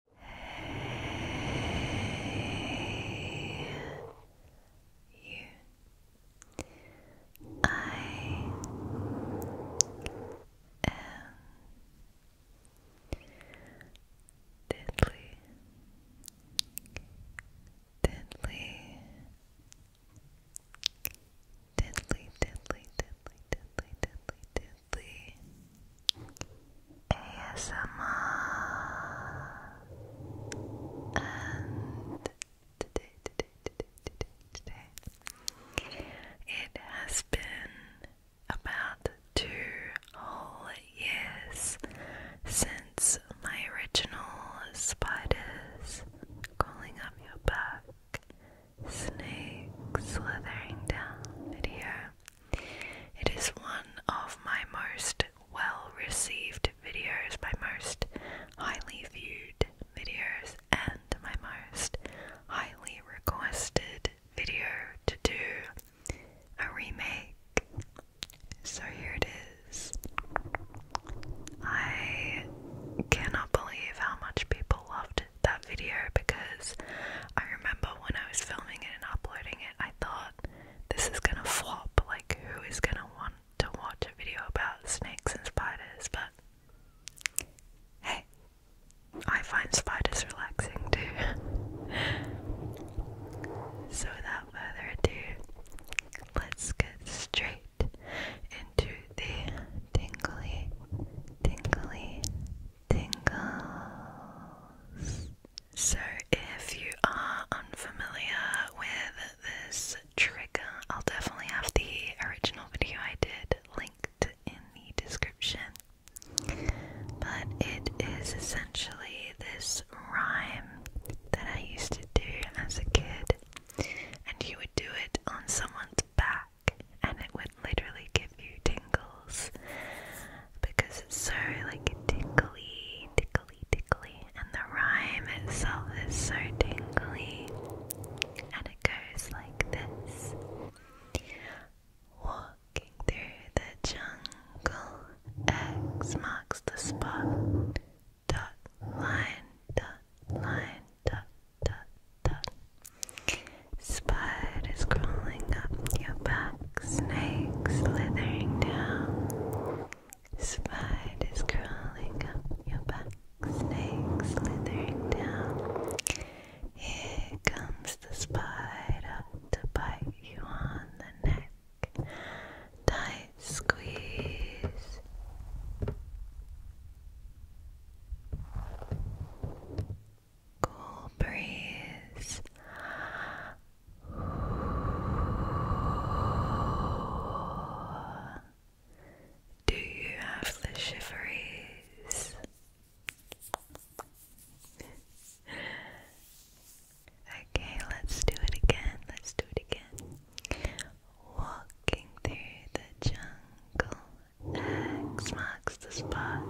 Hey, you. I am deadly, deadly, deadly, deadly, deadly, deadly, deadly, deadly, ASMR. And it has been about two whole years since my original spiders crawling up your back, snake slithering down video. It is one of my most well received videos, my most highly viewed videos, and my most highly requested video to do a remake. So here it is. I cannot believe how much people loved that video because I remember when I was filming it and uploading it, I thought this is gonna flop. Like, who is gonna want to watch a video about snakes and spiders? But hey, I find spiders relaxing too. so, without further ado, let's get straight into the tingly, tingly, tingles. So, if you are unfamiliar with this trigger, I'll definitely have the original video I did linked in the description. But it is essentially this rhyme that I used to do as a kid, and you would do it on someone's back, and it would literally give you tingles because it's so like tickly, tickly, tickly, and the rhyme itself is so tingly, and it goes like this. Walking through the jungle, X marks the spot. Dot line, dot line, dot dot dot. Spiders crawling up your back, snakes slithering down. Spiders crawling up your back, snake slithering down. Here comes the spider to bite you on the neck. Tight squeeze cool breeze. Do you have the shiveries? okay, let's do it again. Let's do it again. Walking through the jungle, X marks the spot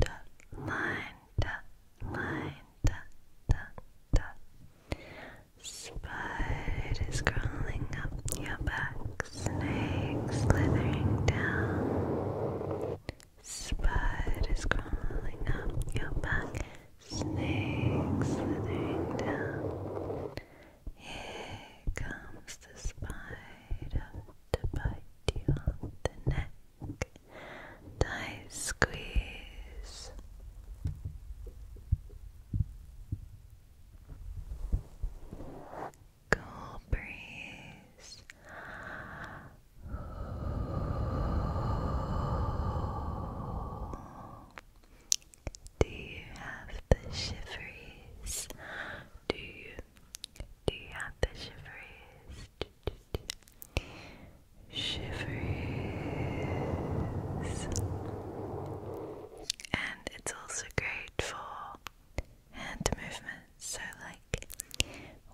dot line dot line dot dot dot Spider is crawling up your back, snake slithering down. Spider is crawling up your back, snake slithering down. Here comes the spider to bite you on the neck. Tight squeeze. Cool breeze. Do you have the shiveries? Do you do you have the shivers? Shivers. And it's also great for hand movements, so like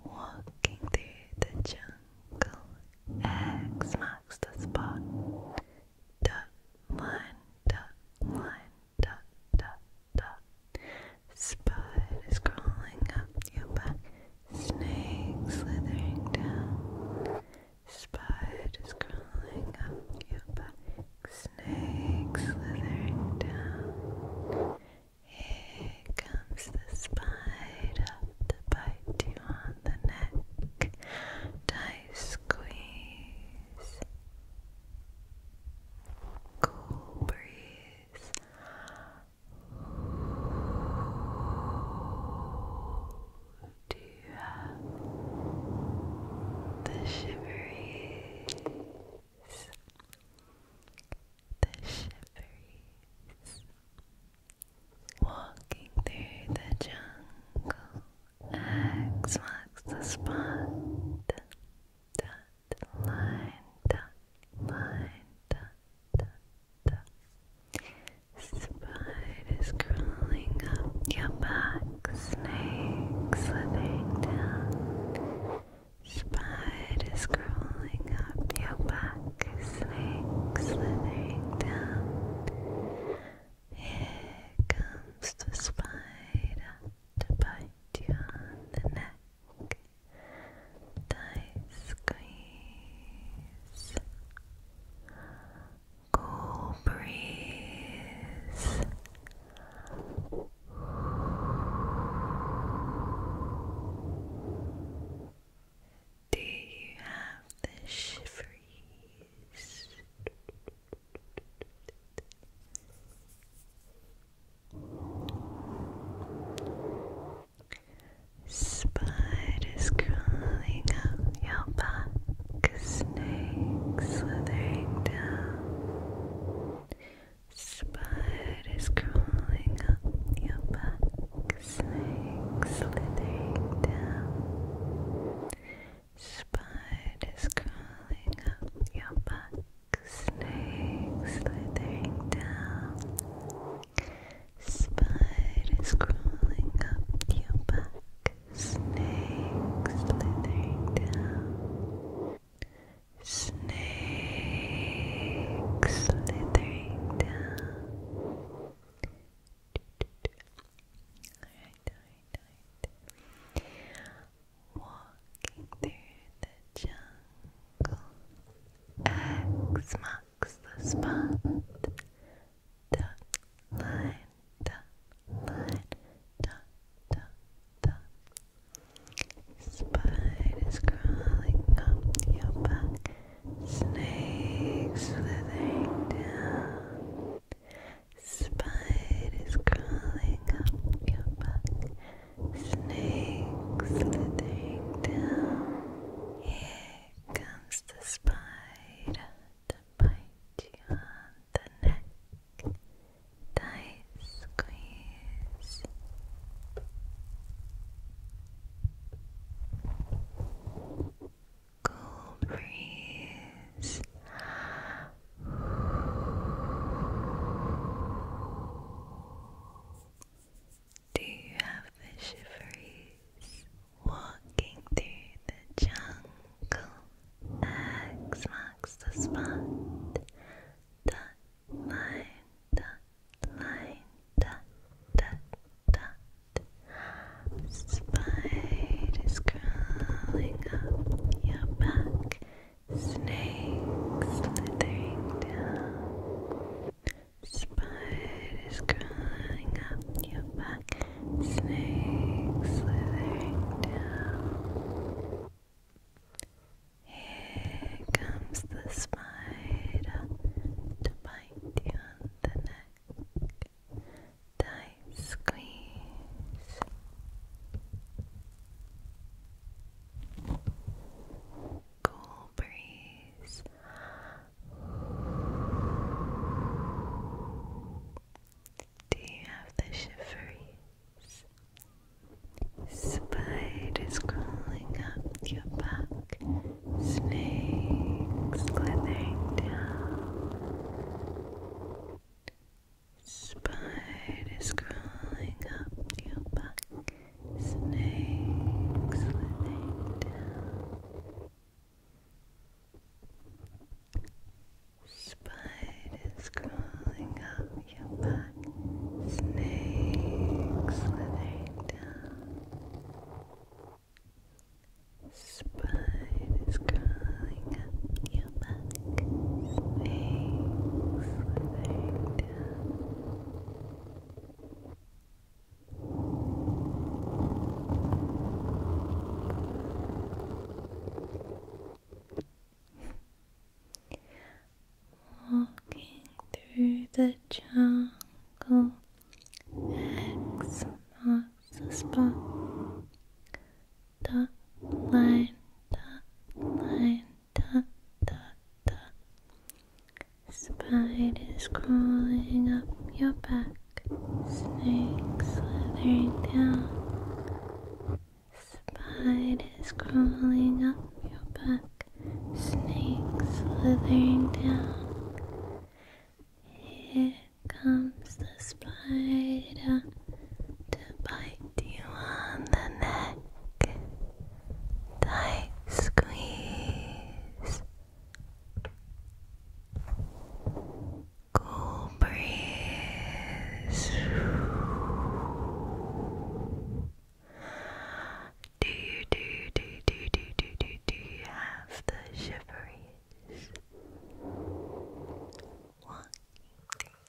walking through the jungle. X marks the spot. Dot line, dot line, dot dot Spiders crawling up your back. Snakes slithering down. Spiders crawling up your back. Snakes slithering down. Here comes the spider to bite you on the neck. Tight squeeze. Cool breeze do you have the shiveries? The shiveries walking through the jungle. X marks the spot line dot line dot dot dot spiders crawling up your back snakes slipping down spiders crawling up your back snakes slithering down here comes the spider to bite you on the neck tight squeeze, cool breeze. Do you have the shiveries? Spiders crawling up your back, snakes slithering down. Spiders crawling up your back, snakes slithering down. Spiders crawling up your back, snake slithering down, spiders crawling up your back, snake slithering down, snake slithering down. Walking through the jungle, X the spot. Dot line, dot line, dot, dot, dot. crawling up your back, snakes slithering down. Spiders crawling up your back. Snakes slithering down. Here comes the spider to bite you on the neck. Tight squeeze. Cool breeze. Do you have the shiveries walking through the jungle? X marks the spot. Dot line, dot line, dot dot dot. Spiders crawling up your back. Snakes slithering down. Spiders crawling up your back. Snakes slithering down. Here comes the spider to bite you on the neck. Tight squeeze cool breeze. Do you have the shiveries? Spiders crawling up your back, snakes slithering down. Spiders crawling up your back, snakes slipping down. Spiders crawling up your back, snakes slithering down. Spiders crawling up your back, snakes slithering Walking through the jungle, X marks the spot. Dot line, dot line, da da da. Spiders crawling up your back, Snake slithering down. Spiders crawling up your back, Snake slithering down. Here comes the spider to bite do you want the neck? Tight squeeze. Cool breeze. Do you do do do do do do do you have the shiveries? Walking through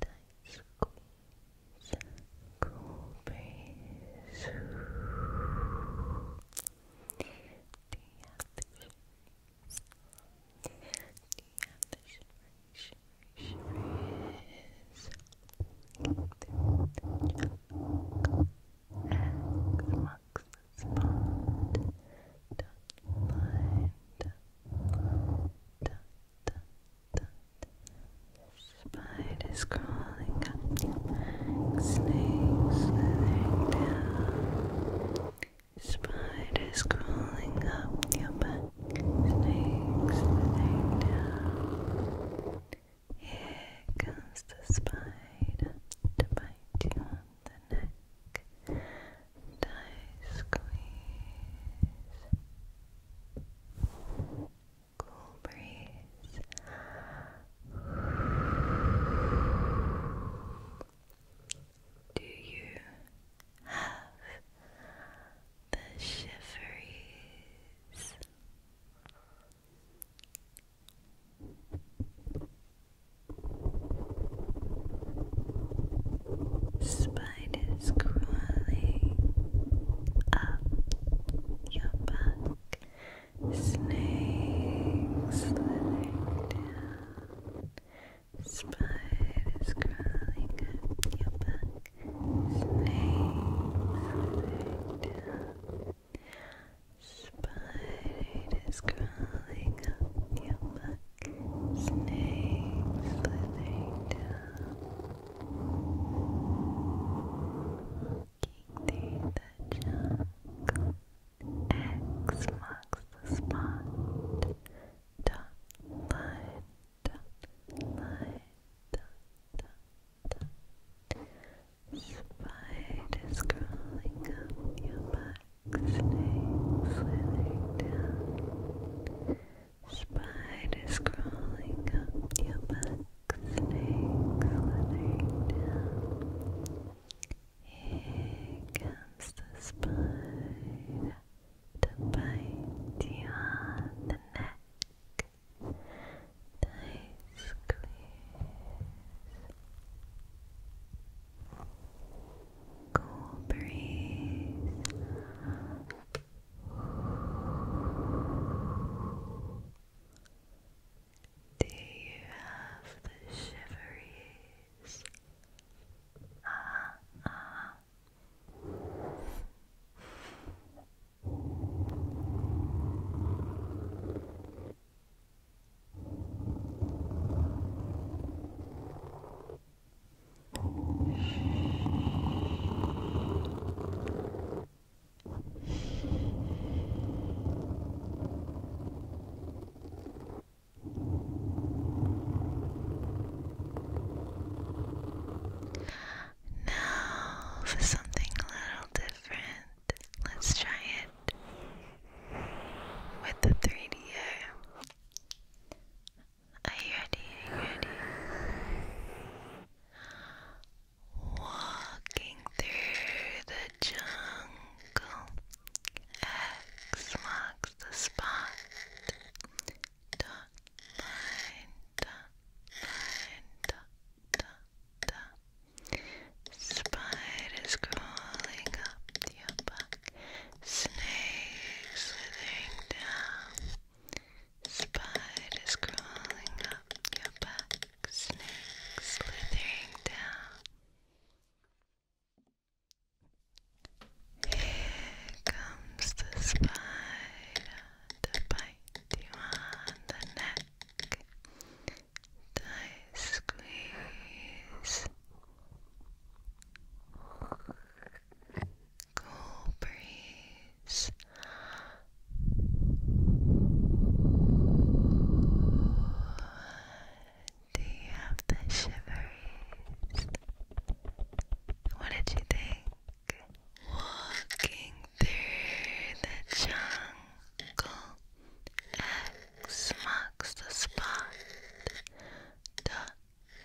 tight squeeze, cool breeze. Do you have the shivers? Do you have the shivers? Shivers, shivers. Through the jungle, eggs amongst the spot. Dot line, dot line, dot Spiders crawling up, snakes slithering down. Spiders crawling up your back, snakes slithering down. Here comes the spider to bite you on the neck, and squeeze cool breeze. Do you have the shiveries? Spiders blood is crawling up your back. Snakes slithering down. Spiders crawling up your back. Snakes slithering down. Spiders crawling up your back. Snakes slithering down through the jungle. X marks the spot. Dot line, dot line, dot dot dot. Spiders crawling up your back, snakes slithering down. Spiders crawling up your back, snakes Here comes the spider to bite you on the neck. Nice squeeze. Cool breeze. Do you have the shiveries? Ah, ah. Now for something a little different. Let's try it with the 3DO. Are you ready? ready? Walking through the jungle. X marks the spot. Spiders crawling up your back. Snakes slithering down. Spiders crawling up your back, snakes slithering down. Here comes the spider to bite you on the neck. Tight squeeze cool breeze. Do you have the shivers? What did you think? Walking through the jungle, X marks the spot. Dot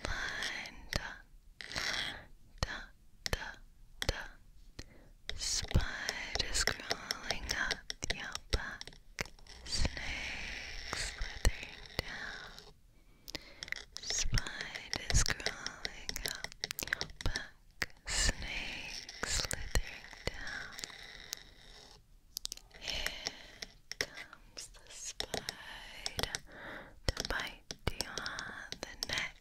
line, da, da, da. Spiders crawling up your back, snakes slithering down. Spiders crawling up your back, snakes slithering down. Here comes the spider to bite you on the neck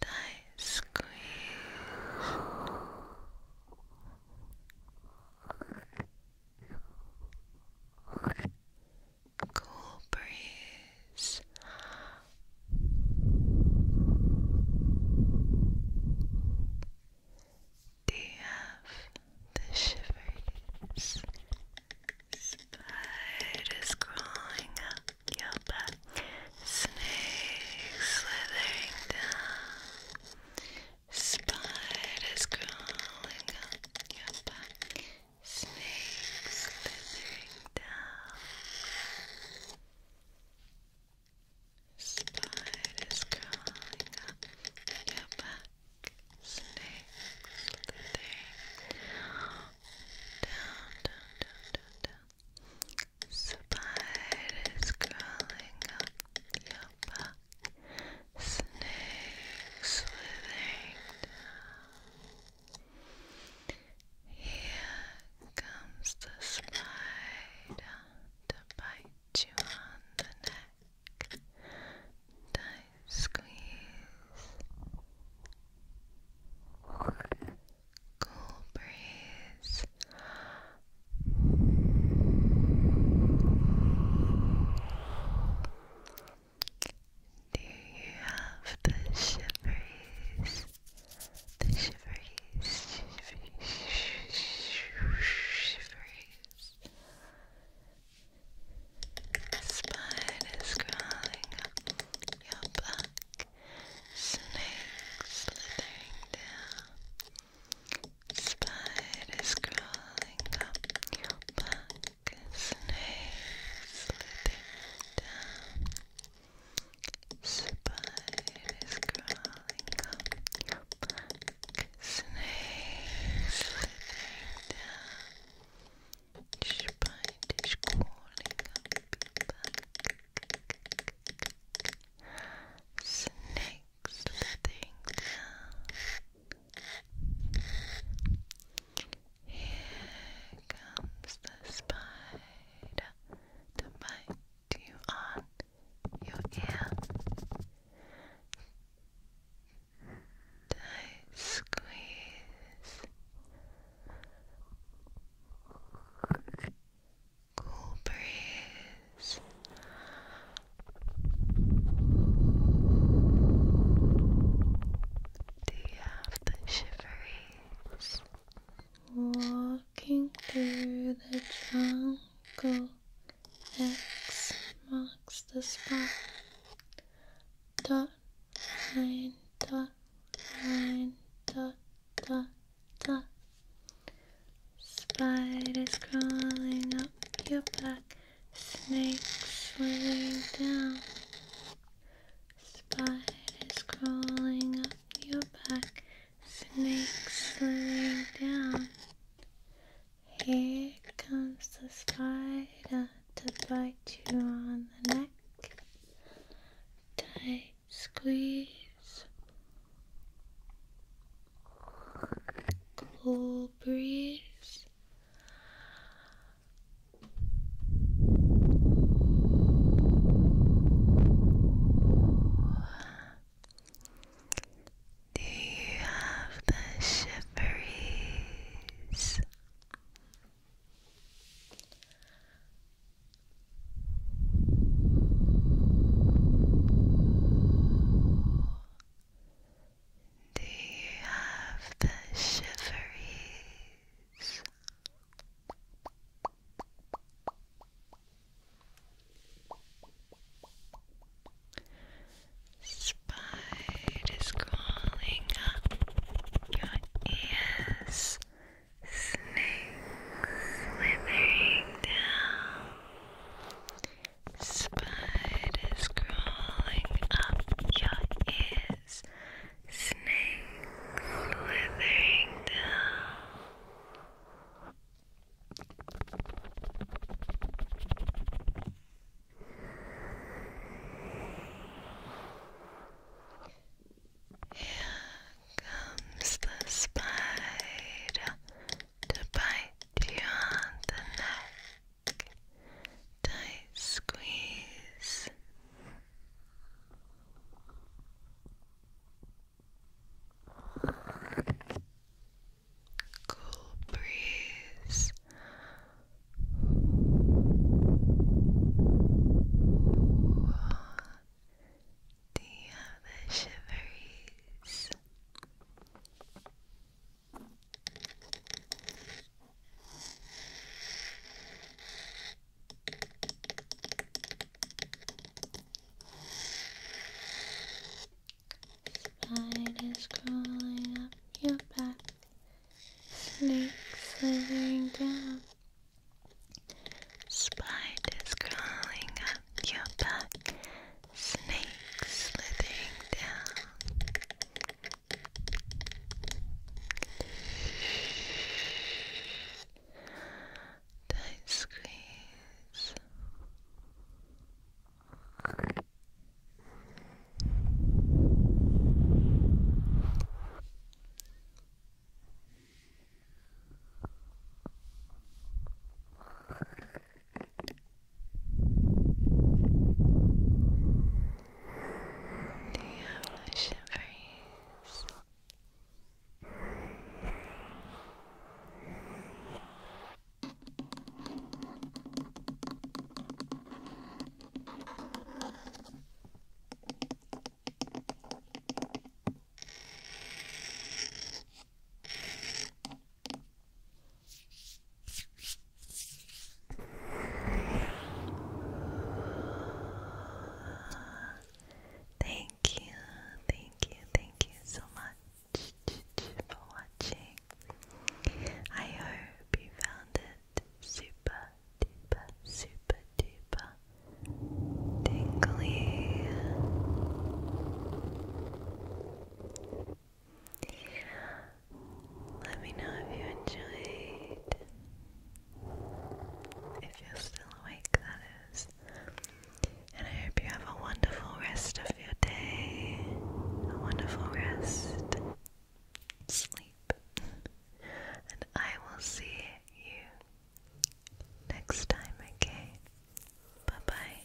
tight squeeze cool breeze do have the shivers? Spider crawling up your back, snakes slithering down. Spiders crawling up your back, snakes slithering down. Spiders crawling up your back, down, Spiders crawling up your back, snakes slithering down. Here comes the spider to bite you on the neck squeeze, cool breeze. Do you have the shiveries? The shiveries, Spiders crawling up your back, snakes slithering down. Spiders crawling up your back, snakes slithering down. Spiders crawling up your back, snakes slithering down. Spite calling back. Snake slithing Here comes the spider to bite you on your ear tight squeeze cool breeze do you have the shiveries? Walking through the jungle, X marks the spot dot nine dot nine dot dot Spiders crawling up your back, snakes swimming down. Spiders crawling up your back, snakes swimming down. Here comes the spider to bite you on the neck. Tight squeeze. Cool breeze. Do you have the shiveries? Do you have the shiveries? spiders crawling up your ears, slithering down, spiders crawling up your ears, slithering down. Here comes the spider to bite you on the neck. Tight squeeze. Cool breeze Ooh. Do you have the Spiders crawling up your back. Snake slithering down. Spiders crawling up your back. Snakes slithering down. Tight squeeze. Do you have the shivers? Thank you, thank you, thank you so much for watching. I hope you found it super duper super duper tingly. Let me know if you enjoyed. If you're still awake, that is. And I hope you have a wonderful rest of your day. A wonderful rest sleep. and I will see you next time, okay? Bye bye.